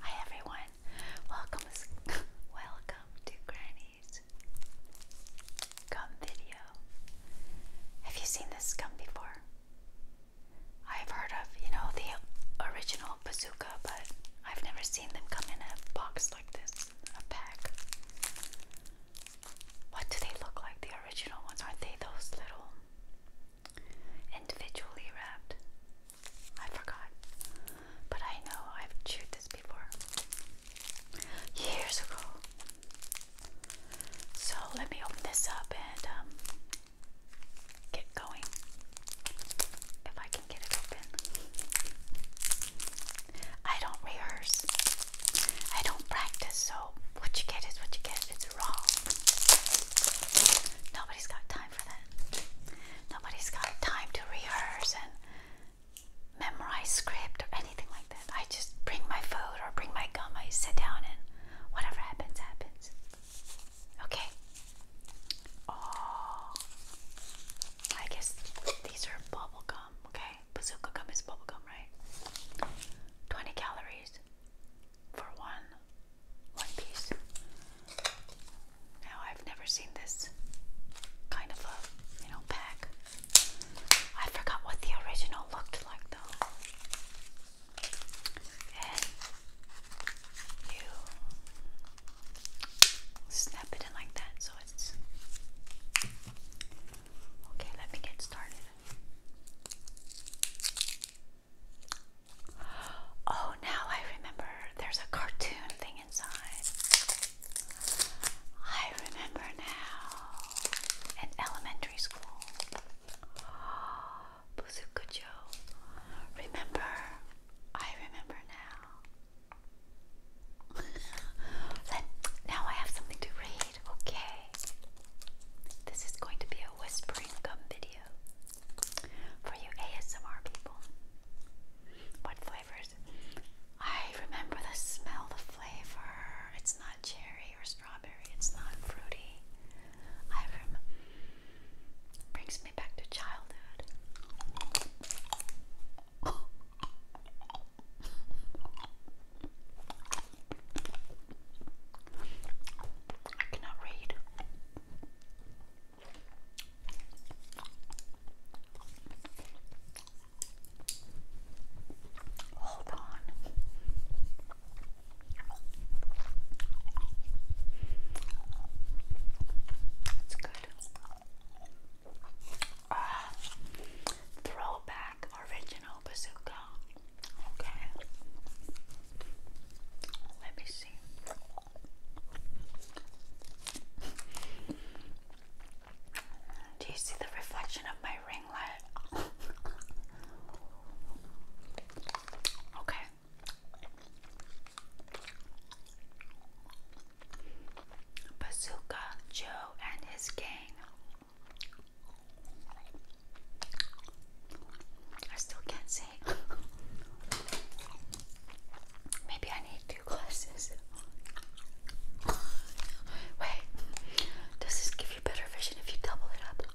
Hi everyone, welcome, welcome to Granny's gum video. Have you seen this gum before? I've heard of, you know, the original bazooka, but I've never seen them come in a box like this, a pack. What do they look like? The original ones aren't they those little individually wrapped. I forgot, but I know I've chewed this before years ago. So let me open this up and um, get going. If I can get it open, I don't rehearse, I don't practice. So what you get is what you get. Nobody's got time for that. Nobody's got time to rehearse and memorize script or anything like that. I just bring my food or bring my gum, I sit down and whatever happens, happens. Okay. Oh, I guess these are bubble gum, okay? Bazooka gum is bubble gum, right? 20 calories for one one piece. Now I've never seen this kind of a you know pack. I forgot what the original looked like though. And you snap it in like that so it's okay. Let me get started. Oh, now I remember there's a cartoon thing inside. I remember now. In elementary school. Buzukujo. Remember. I remember now. then, now I have something to read. Okay. This is going to be a whispering gum video. For you ASMR people, what flavors? I remember the smell, the flavor. It's not cherry or strawberry. It's not fruity. I rem brings me back to childhood. I cannot read. Hold on. It's good. Ah. throwback original bazooka. Okay. Let me see. Do you see the reflection of my ring light? okay. Bazooka Joe and his gang. I still can't see. Maybe I need two glasses. Wait, does this give you better vision if you double it up?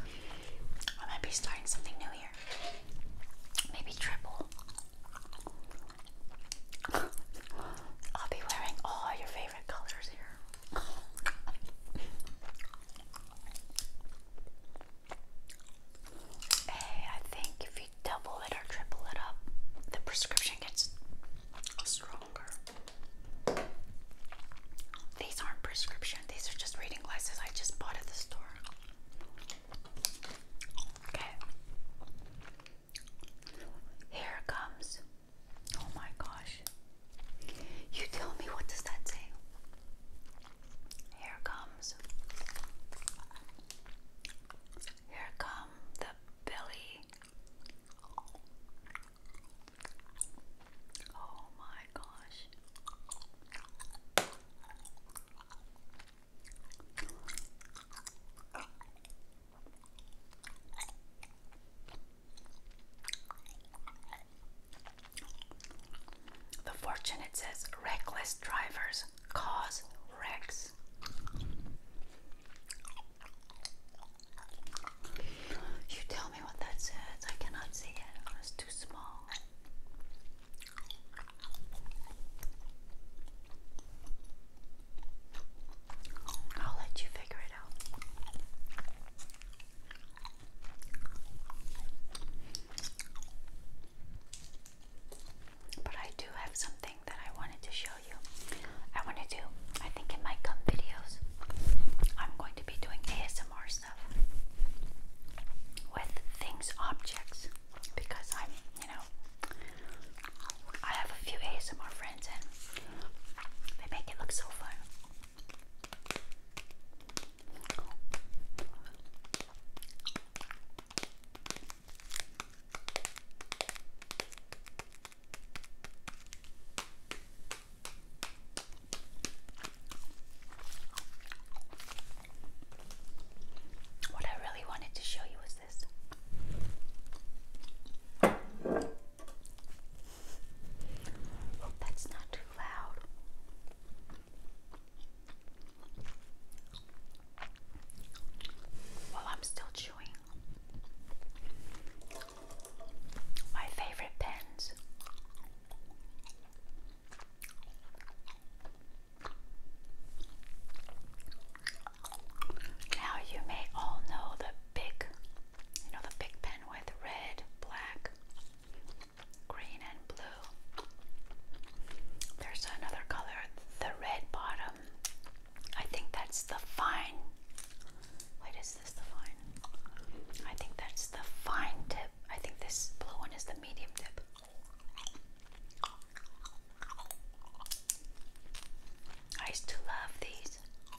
I might be starting something new here. Maybe triple. I'll be wearing all your favorite colors here. Hey, I think if you double it or triple it up, the prescription gets stronger. These aren't prescription, these are just reading glasses I just bought at the store. Okay. Here comes. Oh my gosh. You tell me what does that say? Here comes Here come the Billy. Oh my gosh. The fortune it says reckless drivers cause wrecks. You tell me what that says. I cannot see it. Oh, it's too small. I'll let you figure it out. But I do have something that I wanted to show you. I want to do, I think it might come videos, I'm going to be doing ASMR stuff with things, objects, because I'm, you know, I have a few ASMR friends and they make it look so fun. What I really wanted to show you was this. Hope oh, that's not too loud. Well, I'm still chewing. My favorite pens. Now you may all know the big, you know the big pen with red, black, green and blue. There's another color, the red bottom. I think that's the fine. Wait, is this the fine? I think that's the fine tip. I think this blue one is the medium tip. I used love these.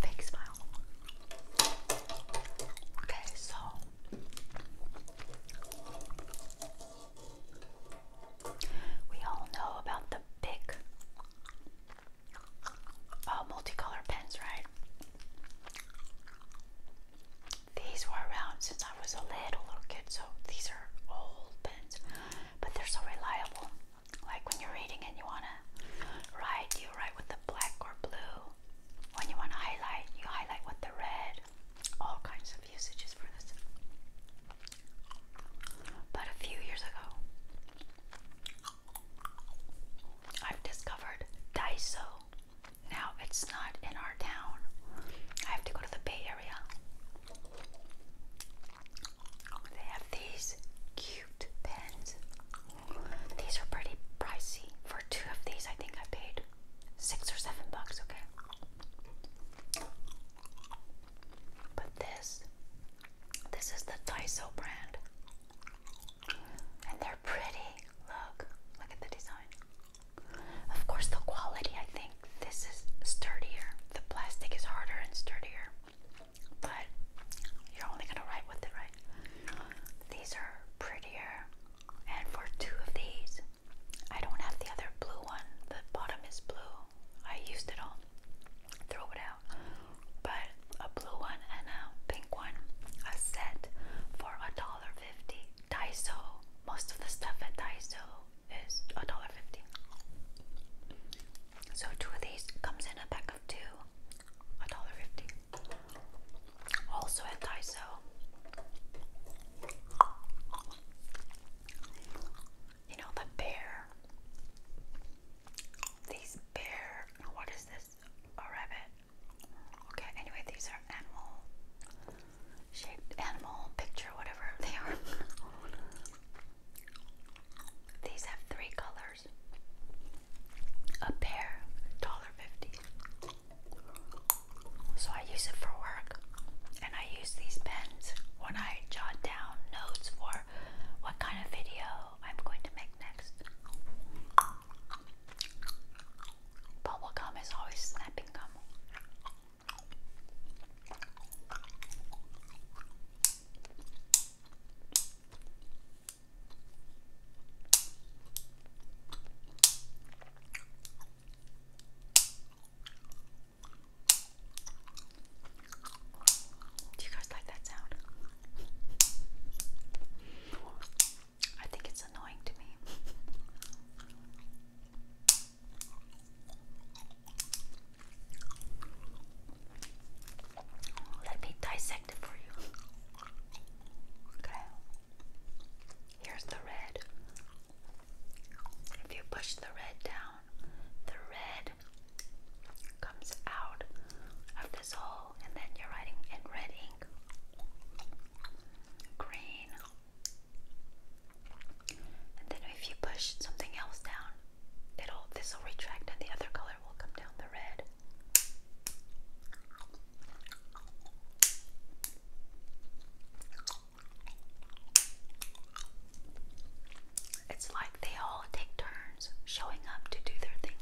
Fake smile. Okay, so we all know about the big uh, multicolored pens, right? These were around since I was a little little kid, so these are old pens, but they're so reliable. Like when you're reading and you wanna write, you write with the black or blue. When you wanna highlight, you highlight with the red. All kinds of usages for this. But a few years ago, I've discovered Daiso. Now it's not in our town. I have to go to the Bay Area. They have these cute pens. These are pretty pricey. For two of these, I think I paid six or seven bucks, okay? But this, this is the Daiso brand. And they're pretty. Look, look at the design. Of course, the quality, I think this is sturdier. The plastic is harder and sturdier, but you're only gonna write with it, right? These are prettier, and for two of these, I don't have the other blue one. The bottom is blue. I used it all. Throw it out. But a blue one and a pink one, a set for a dollar fifty. Daiso. Most of the stuff at Daiso is a dollar fifty. So two of these comes in a pack of two, a dollar fifty. Also at Daiso. You know the bear. These bear. What is this? A rabbit. Okay. Anyway, these are animal shaped animal picture, whatever they are. These have three colors. A pair, $1.50. So I use it for work. And I use these pens when I jot down notes for what kind of video I'm going to make next. Bubble gum is always snapping gum. Do you guys like that sound? I think it's annoying to me. Let me dissect it for you. Okay. Here's the red. If you push the red down, the red comes out of this hole, and then you're writing in red ink. Green. And then if you push something else down, it'll this will retract and the other color will come down the red. It's like they all take turns showing up to do their thing.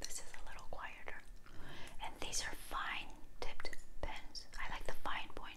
This is a little quieter. And these are fine tipped pens. I like the fine point.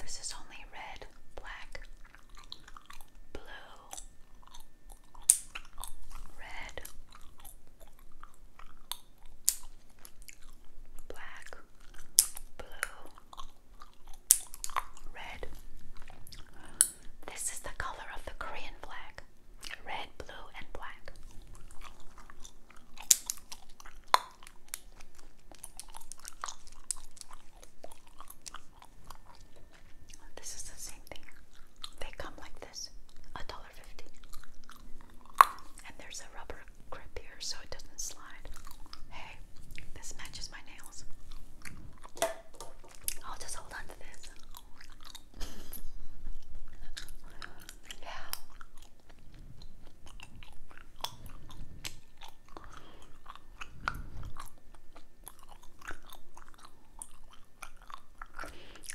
This is only red, black, blue, red, black, blue, red. This is the color of the Korean flag red, blue, and black. This is the same thing. They come like this, a dollar fifty, and there's a rubber grip here so it doesn't slide. Hey, this matches my nails. I'll just hold on this. yeah.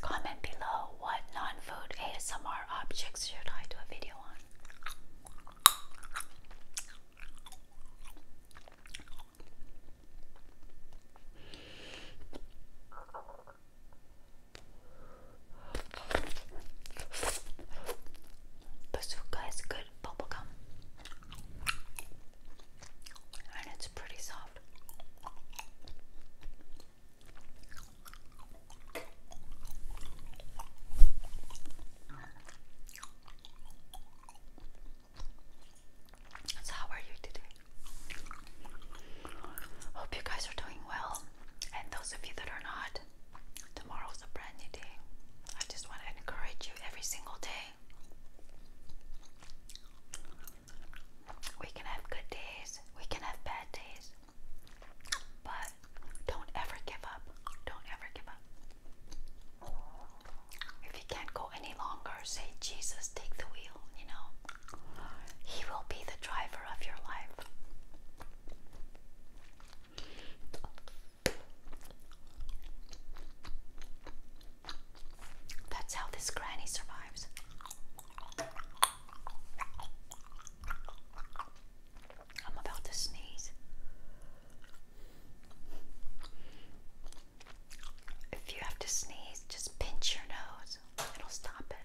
Comment below what non food ASMR objects should I do a video on. Bazooka is good bubble gum. And it's pretty soft. how are you today? Hope you guys are doing well. And those of you that are not, tomorrow's a brand new day. I just want to encourage you every single day. We can have good days, we can have bad days, but don't ever give up. Don't ever give up. If you can't go any longer, say, Jesus, take the wheel, you know. He will be the driver of your life. That's how this granny survives. I'm about to sneeze. If you have to sneeze, just pinch your nose, it'll stop it.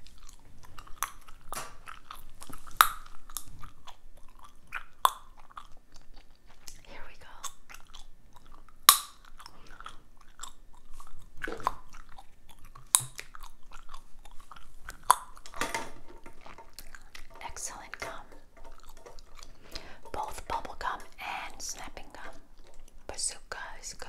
Here we go. Excellent gum. Both bubble gum and snapping gum. Bazooka is good.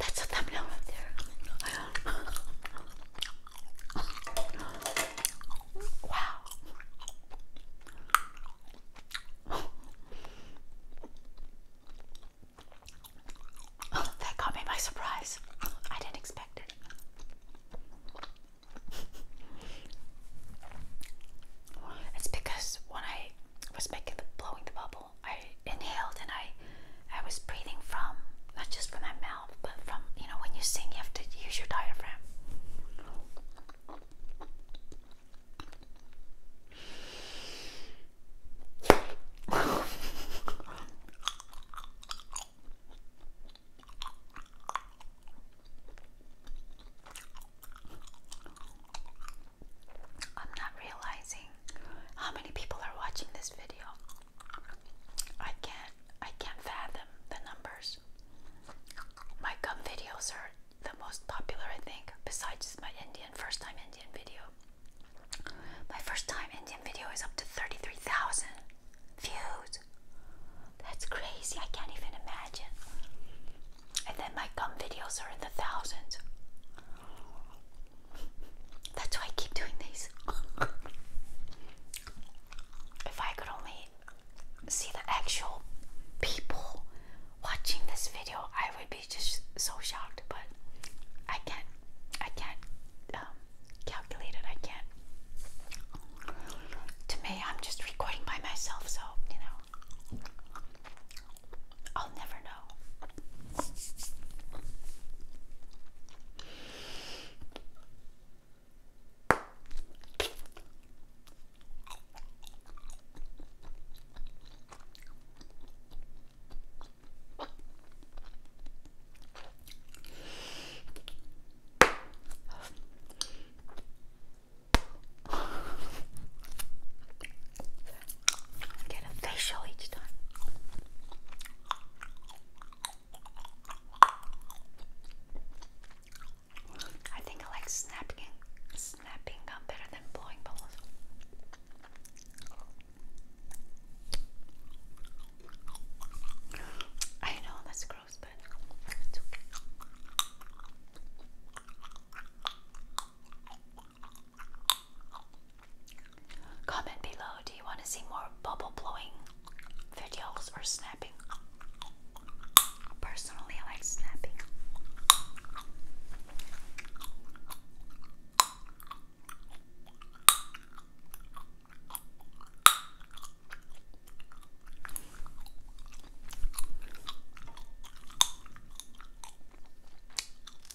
That's a thumbnail up there. wow. that caught me by surprise. I didn't expect it. It's because when I was making the blowing the bubble. I inhaled and I I was breathing from not just from my mouth, but from you know when you sing you have to use your diaphragm. I'm not realizing how many people are watching this video. I can't I can't fathom the numbers. My gum videos are the most popular I think besides my Indian first time Indian video. My first time Indian video is up to 33,000 views. That's crazy. I can't even imagine. And then my gum videos are in the thousands. That's why I keep doing these. if I could only see the actual people watching this video, I would be just so shocked. But I can't, I can't um, calculate it. I can't. To me, I'm just recording by myself, so you know. I'll never know. Get a facial each time. I think I like snapping snapping gum better than blowing bubbles. I know that's gross, but it's okay. Comment below, do you want to see more bubble blowing videos or snapping? Personally, I like snapping.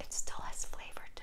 It still has flavor too.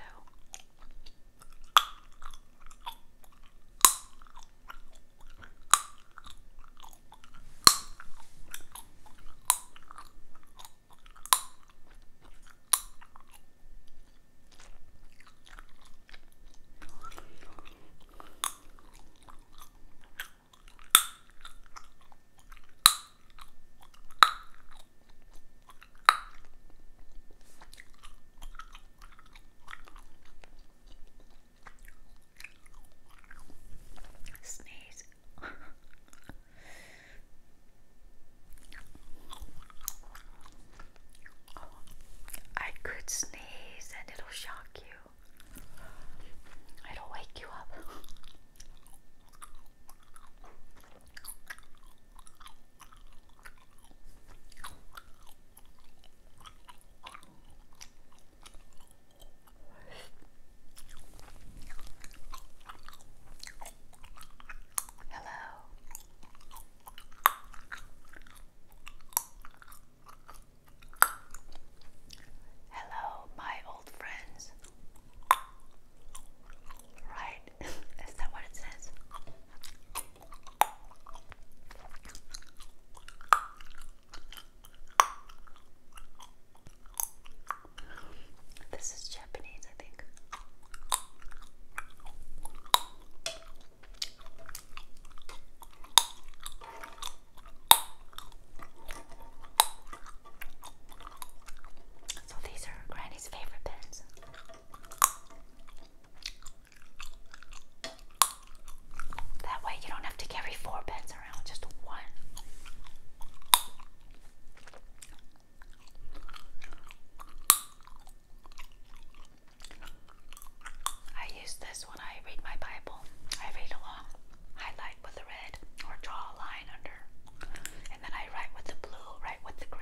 Sneeze. Oh, I could sneeze and it'll shock you. It'll wake you up. Hello. Hello, my old friends. Right? Is that what it says? This is Japanese, I think. So these are Granny's favorite pens. That way you don't have to carry four pens around, just one. I use this when I read my Bible. I read along, highlight with the red, or draw a line under, and then I write with the blue, write with the green.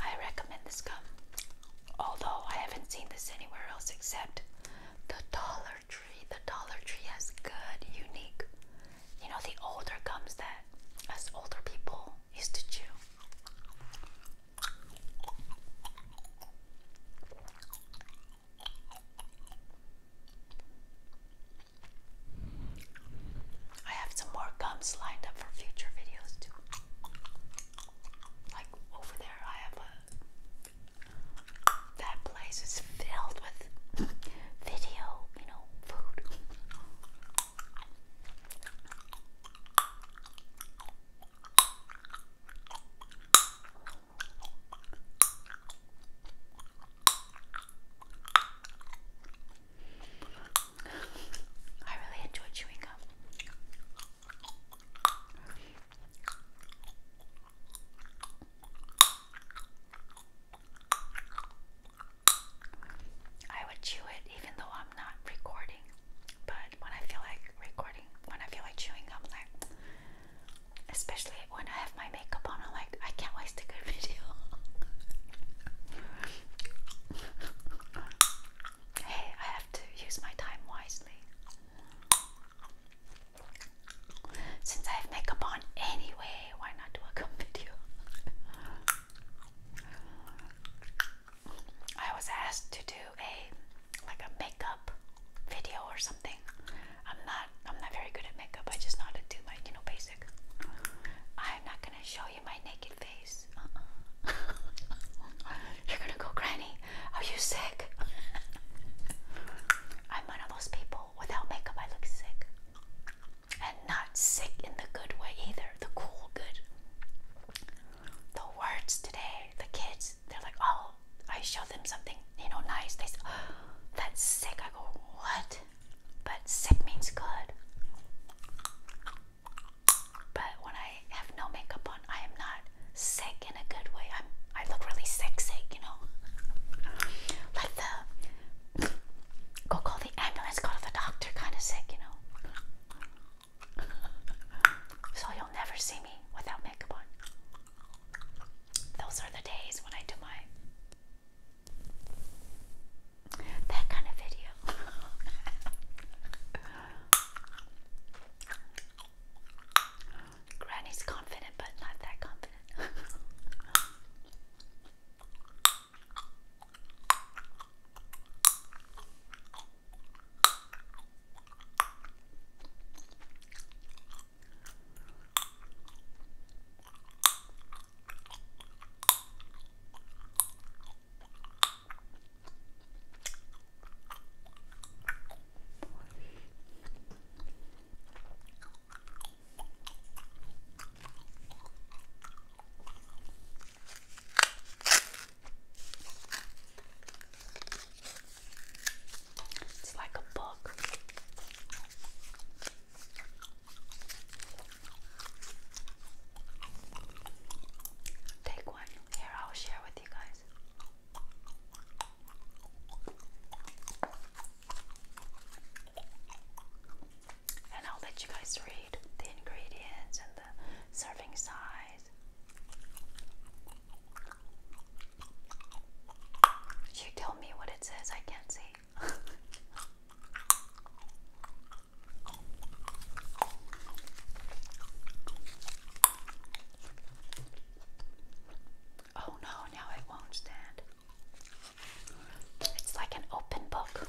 I recommend this gum, although I haven't seen this anywhere else except the Dollar Tree. The Dollar Tree has good, unique, you know, the older gums that us older people used to chew. I have some more gums lined up for future videos too. Like over there, I have a. That place is filled with video, you know, food. I really enjoy chewing gum. I would chew it even though I'm not recording, but when I feel like recording, when I feel like chewing gum, like especially when I have my makeup on, I'm like, I can't waste a good video. hey, I have to use my time wisely. Since I have makeup on anyway, why not do a gum video? I was asked to do a like a makeup video or something. I'm not I'm not very good at makeup. I just know to do my, you know, basic. I'm not gonna show you my naked face. Uh-uh. You're gonna go, Granny. Are you sick? I'm one of those people. Without makeup, I look sick, and not sick in the good way either. The cool good. The words today, the kids, they're like, oh, I show them something, you know, nice. They say, oh, that's sick. I go, what? but sick means good. But when I have no makeup on, I am not sick in a good way. I'm, I look really sick, sick, you know? Like the go call the ambulance, go to the doctor kind of sick, you know? So you'll never see me without makeup on. Those are the days when I do my that kind of video. Granny's confident, but not that confident. It's like a book. Take one. Here, I'll share with you guys. And I'll let you guys read the ingredients and the serving size. You tell me what it says, I can't see oh no, now it won't stand. It's like an open book.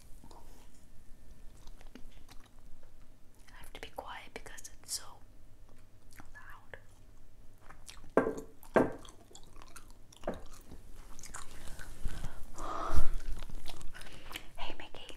I have to be quiet because it's so loud. hey, Mickey.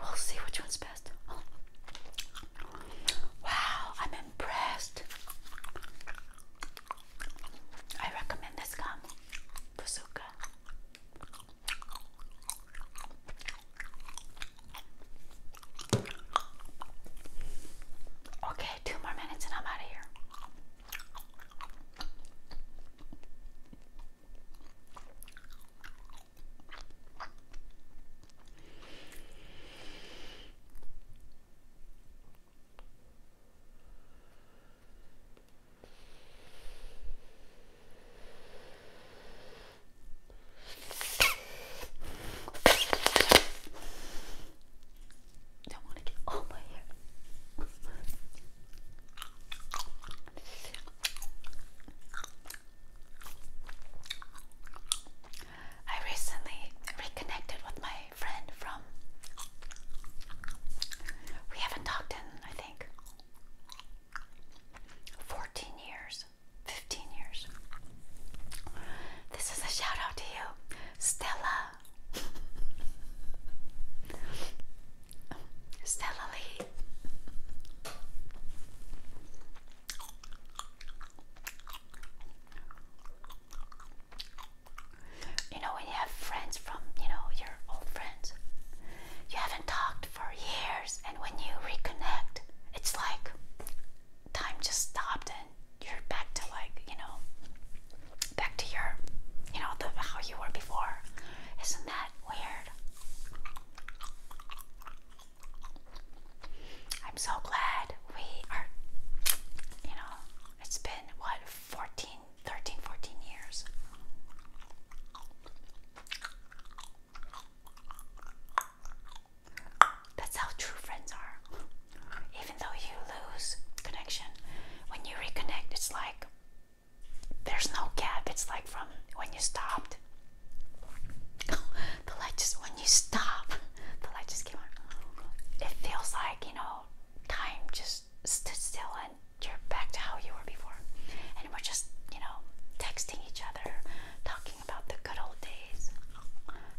We'll see which one's best. Wow, I'm impressed. I recommend this gum, Bazooka. Okay, two more minutes and I'm out of here. Don't want to get all my hair. I recently reconnected with my friend from. We haven't talked in, I think, 14 years, 15 years. This is a shout out to you, Stella. Stella Lee. You know, when you have friends from, you know, your old friends, you haven't talked for years, and when you reconnect, it's like time just stopped and you're back to, like, you know, back to your, you know, the, how you were before. Isn't that weird? I'm so glad we are, you know, it's been what, 14, 13, 14 years. That's how true friends are. Even though you lose connection, when you reconnect, it's like there's no gap. It's like from when you stopped the light just when you stop, the light just came on. It feels like you know time just stood still and you're back to how you were before, and we're just you know texting each other, talking about the good old days,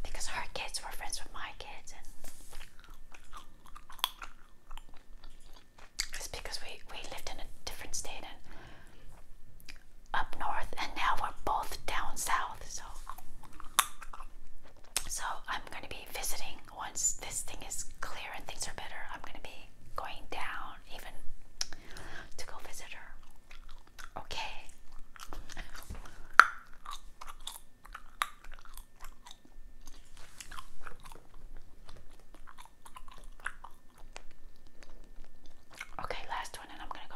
because our kids were friends with my kids, and it's because we we lived in a different state and up north and now we're both down south so so I'm going to be visiting once this thing is clear and things are better I'm going to be going down even to go visit her okay Okay, last one, and I'm gonna go.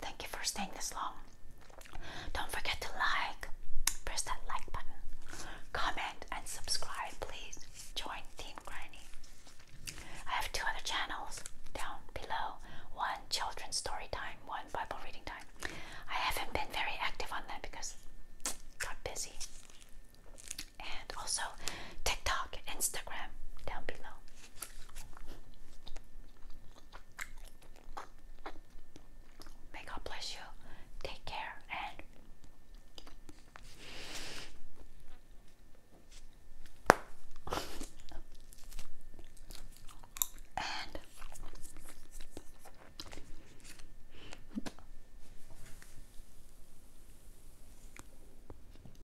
Thank you for staying this long. Don't forget to like, press that like button, comment, and subscribe, please. Join Team Granny. I have two other channels down below one children's story time, one Bible reading time. I haven't been very active on that because got busy. And also TikTok, Instagram down below. May God bless you. Take care and and